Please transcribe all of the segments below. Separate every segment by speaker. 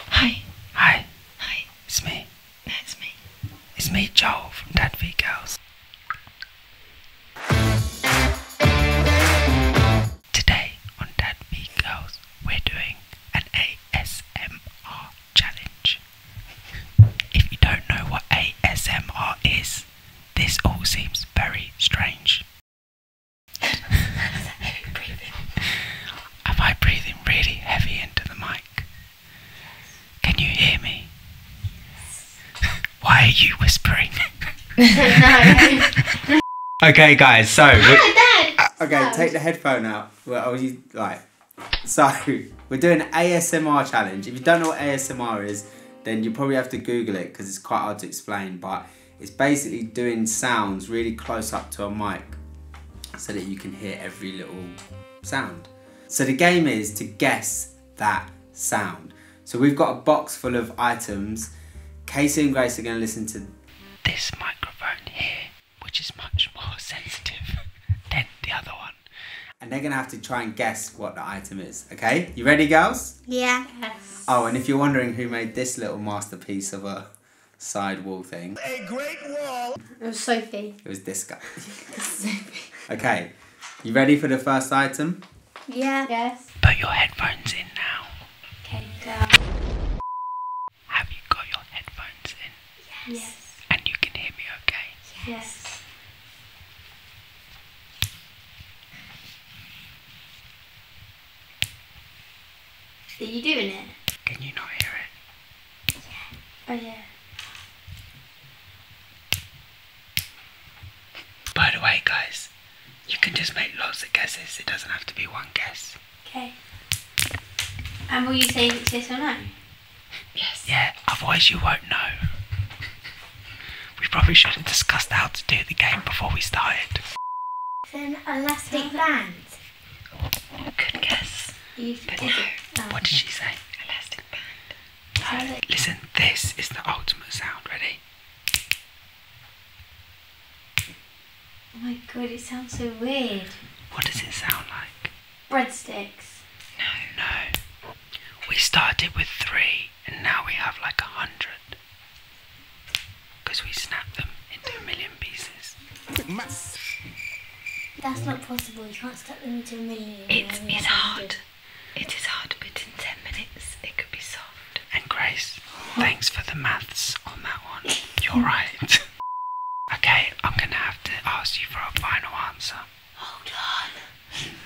Speaker 1: Hi. Hi. Hi. It's me. That's me. It's me, Joel from Dad V Girls. Today on Dad V Girls, we're doing an ASMR challenge. If you don't know what ASMR is, this all seems very strange. Am I breathing really heavy into the mic?
Speaker 2: Can you hear me? Why are you whispering? okay, guys, so. We- uh, okay, take the headphone out. Well, are you like. Sorry, we're doing ASMR challenge. If you don't know what ASMR is, then you probably have to Google it because it's quite hard to explain, but it's basically doing sounds really close up to a mic so that you can hear every little sound. So the game is to guess that sound. So we've got a box full of items. Casey and Grace are going to listen to this microphone here, which is much more sensitive than the other one. And they're going to have to try and guess what the item is, okay? You ready, girls? Yeah. Oh, and if you're wondering who made this little masterpiece of a side wall thing. A great wall. It was Sophie. It was this guy. Okay, you ready for the first item? Yeah. Yes. Put your headphones in now. Okay. Go. Have you got your headphones in? yes. And you can
Speaker 1: hear me okay?
Speaker 2: Yes. Are you doing it?
Speaker 1: Can you not hear it?
Speaker 2: Yeah. Oh yeah.
Speaker 1: By the way guys, you can just make lots of guesses, it doesn't have to be one guess.
Speaker 2: Okay. And will you say yes or no?
Speaker 1: Yes. Yeah, otherwise you won't know. we probably should have discussed how to do the game before we started. It's an elastic band. Good guess. no. Um, what did she say? Elastic band. Listen, this is the ultimate sound. Ready?
Speaker 2: Oh my god, it sounds so weird. What does it sound like? Breadsticks. No.
Speaker 1: No. We started with three and now we have like a hundred. Because we snapped them into a million pieces. That's not possible, you can't snap them into a million. It's, it's hard. It is hard, but in 10 minutes it could be solved. And Grace, thanks for the maths on that one. You're right. okay, I'm gonna have to ask you for a final answer. Hold on.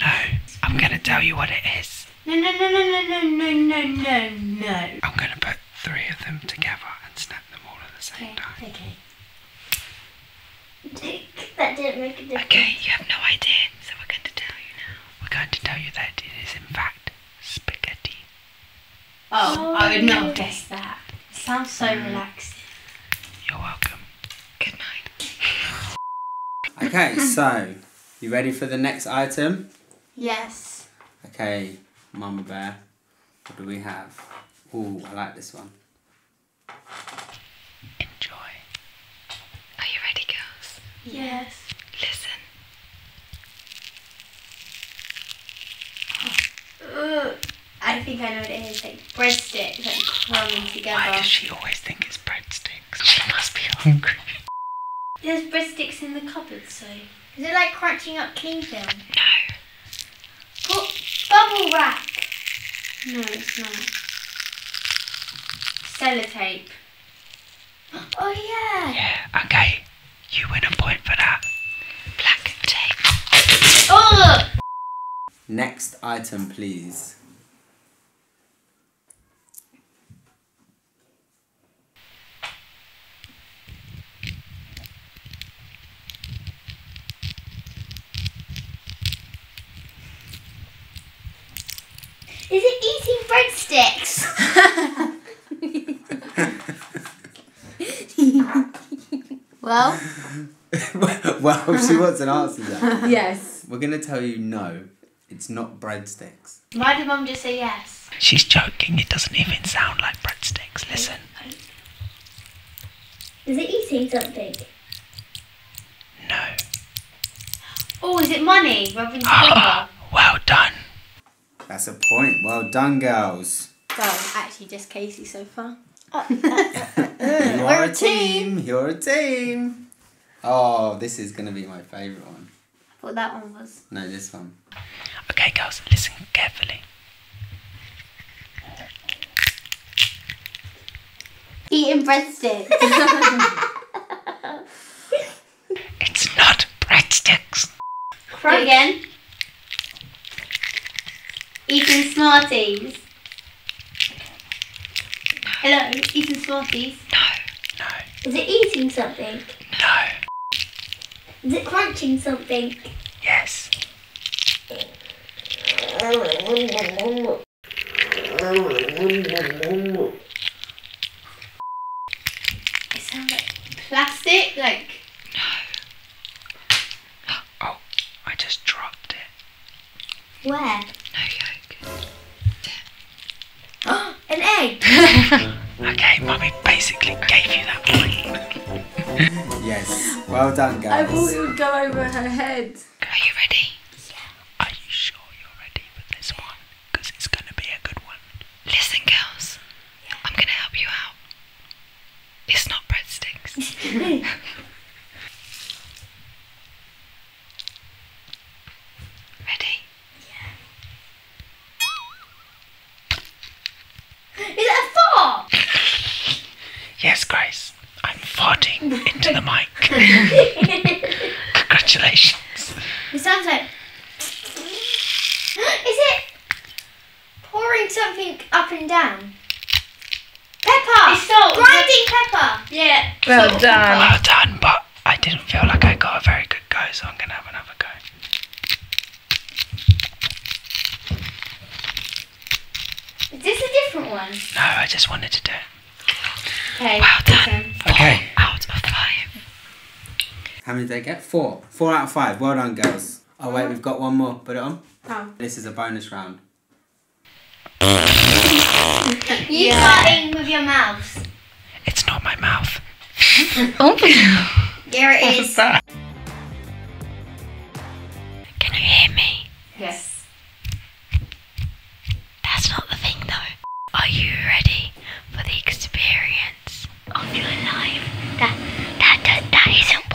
Speaker 1: No, I'm gonna tell you what it is. No, no, no, no, no, no, no, no, no. I'm gonna put three of them together and snap them all at the same time. Okay. that didn't make a difference. Okay, you have no idea, so we're going to tell you now. We're going to tell you that it is in fact spaghetti.
Speaker 2: Oh, oh I would not guess that. sounds so mm. relaxing. You're welcome. Good night. okay, so you ready for the next item? Yes. Okay, Mama Bear, what do we have? Ooh, I like this one.
Speaker 1: Enjoy. Are you ready, girls?
Speaker 2: Yes. Listen. Ugh. I think I know what it is. Like breadsticks, like crumbing together. Why does she always think it's breadsticks?
Speaker 1: She must be hungry.
Speaker 2: There's breadsticks in the cupboard, so. Is it like crunching up cling film? No. Put bubble wrap. No, it's not. Sellotape. Oh yeah. Yeah. Okay. You win a point for that. Black tape. Oh. Next item, please.
Speaker 1: Is it eating breadsticks? well?
Speaker 2: well, she wants an answer to that. Yes. We're going to tell you no, it's not breadsticks. Why did Mum just say yes?
Speaker 1: She's joking. It doesn't even sound like breadsticks. Listen.
Speaker 2: Is it eating something? No. Oh, is it money? well ah, ah, done. That's a point. Well done, girls. Well, actually, just Casey so far. Oh, uh, uh, uh, You're a team. You're a team. Oh, this is going to be my favourite one. I thought that one was. No, this one. Okay, girls, listen
Speaker 1: carefully. Eating breadsticks. it's not breadsticks. Try again.
Speaker 2: Eating Smarties. Hello, eating Smarties. No, no. Is it eating something? Is it crunching something?
Speaker 1: Yes. It
Speaker 2: sounds like plastic, like. No.
Speaker 1: Oh, I just dropped it. Where? No yolk. Oh! an egg.
Speaker 2: okay, mummy basically gave you that yes. Well done, guys. I thought it would go over her head. Are you ready? Are you sure you're ready for this one?
Speaker 1: Because it's going to be a good one. Listen, girls. I'm going to help you out. It's not breadsticks. Ready? Yeah. Is it a fart? yes, Grace. I'm farting into the mic. Congratulations. It sounds like. Is it pouring something up and down? Pepper! It's salt! Grinding pepper! Yeah. Well done. Well done, but I didn't feel like I got a very good go, so I'm gonna have another go.
Speaker 2: Is this a different one? No,
Speaker 1: I just wanted
Speaker 2: to do it. Okay. Well done. Okay. out of five. How many did I get? Four. Four out of five. Well done, girls. Oh, wait, we've got one more. Put it on. Oh. This is a bonus round.
Speaker 1: you yeah. start with your mouth. It's not my mouth. Open oh, There it is. Can
Speaker 2: you hear me? Yes. That's not the thing though. Are you ready
Speaker 1: for the experience of your life? That that that, that isn't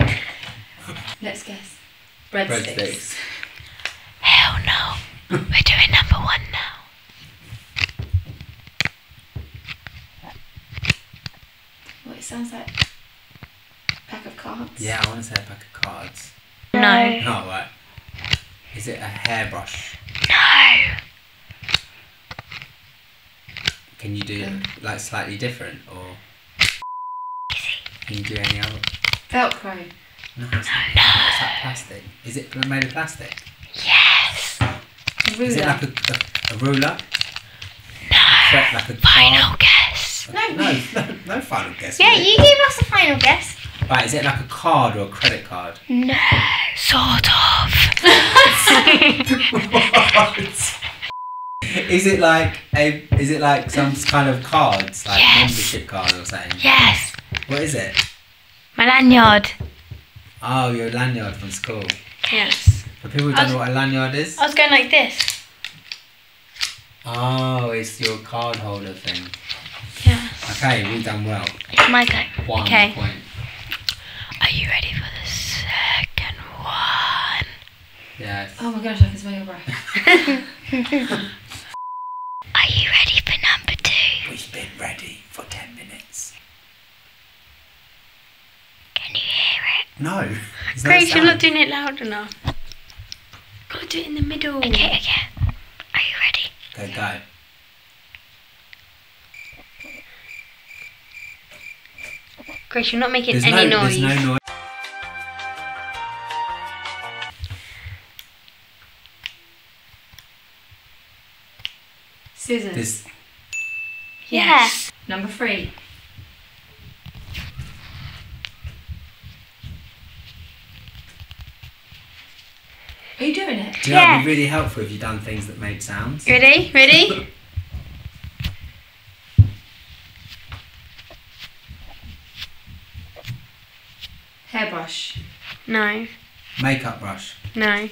Speaker 2: one. Let's guess. Red space. Hell no. We're doing number one now. What it sounds like a pack of cards. Yeah, I want to say a pack of cards. No. No, right. Is it a hairbrush? No. Can you do um, like slightly different or? Can you do any other? Velcro. No, it's not. plastic. Is it made of plastic? Yes. Is it like a, a, a ruler? No. final guess. No. no. no, final guess. Yeah, you gave us a final guess. Right, is it like a card or a credit card? No, sort of.
Speaker 1: what?
Speaker 2: Is it like a? Is it like some kind of cards, like membership cards or something? Yes. What is it? My lanyard. Oh, your lanyard from school. Yes. For people who don't know what a lanyard is? I was going like this. Oh, it's your card holder thing. Yeah. Okay, we've done well. It's my turn. One okay. Are you ready for the second one? Yes. Oh my gosh, I can smell your breath. Are you
Speaker 1: ready for number two? We've been ready for ten minutes.
Speaker 2: Can you hear it? No. Grace, you're not doing it loud enough. Gotta do it in the middle. Okay, okay. Are you ready? Okay, go. Grace, you're not making
Speaker 1: any noise.
Speaker 2: Scissors. Yes. Number three. Are you doing it? yeah. really helpful if you'd done things that made sounds. Ready? Ready? Hairbrush. No. Makeup brush. No.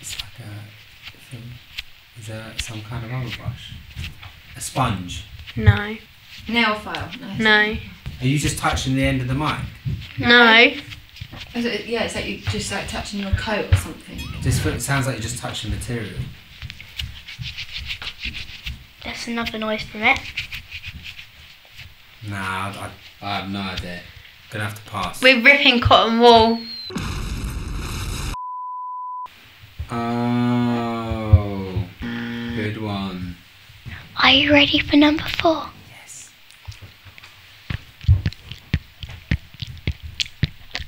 Speaker 2: It's like a thing. Is there some kind of rubber brush? A sponge. No. Nail file. No. Are you just touching the end of the mic? No. yeah, it's like you're just like touching your coat or something something. This sounds like you're just touching material. That's another noise from it. Nah, I, I have no idea. Gonna have to pass. We're ripping cotton wool. Oh, good one. Are you ready for number four? Yes.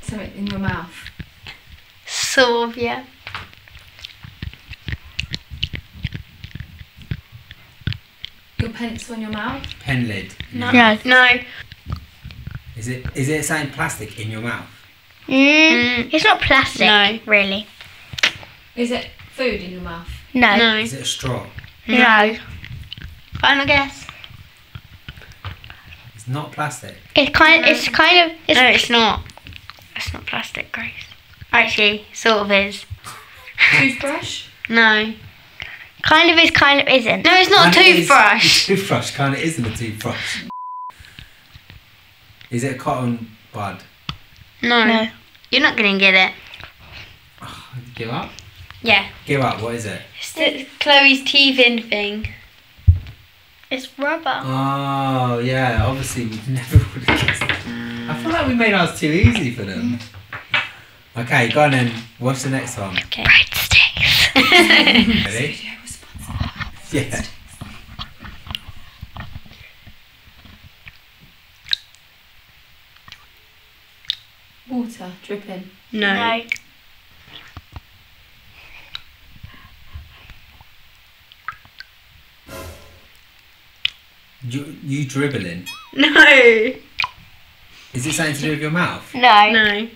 Speaker 2: Something in your mouth. Sylvia. Your pencil in your mouth? Pen lid. No. No. Is it is it something plastic in your mouth? Mm, mm, It's not plastic. No. Really. Is it food in your mouth? No. no. Is it a straw? No. Final guess. It's not plastic. It's kind. No. It's kind of. It's no, it's not. It's not plastic, Grace. Actually, sort of is. Toothbrush. No. Kind of is, kind of isn't. No, it's not a toothbrush. toothbrush kind of isn't a toothbrush. Is it a cotton bud? No. no. You're not going to get it. give up? Yeah. Give up, what is it? It's the Chloe's teething thing. It's rubber. Oh yeah, obviously we never would have guessed. That. I feel like we made ours too easy for them. Mm. Okay, go on then. What's the next one? Okay. Breadsticks. Ready? yeah. Water dripping. No. You, you dribbling? No. Is it something to do with your mouth? No. No.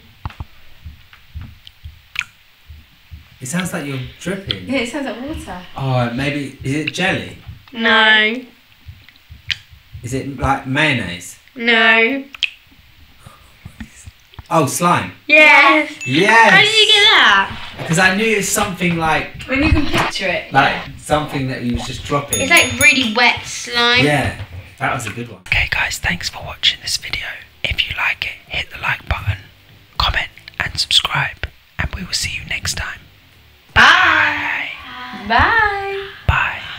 Speaker 2: It sounds like you're dripping. Yeah, it sounds like water. Oh, maybe is it jelly? No. Is it like mayonnaise? No. Oh, slime. Yes. Yes. How did you get that? Because I knew it was something like. When you can picture it. Like something that you was just dropping. It's like really wet slime. Yeah, that was a good one. Okay, guys, thanks for watching this video. If you like
Speaker 1: it, hit the like button, comment, and subscribe. And we will see you next time. Bye. Bye. Bye.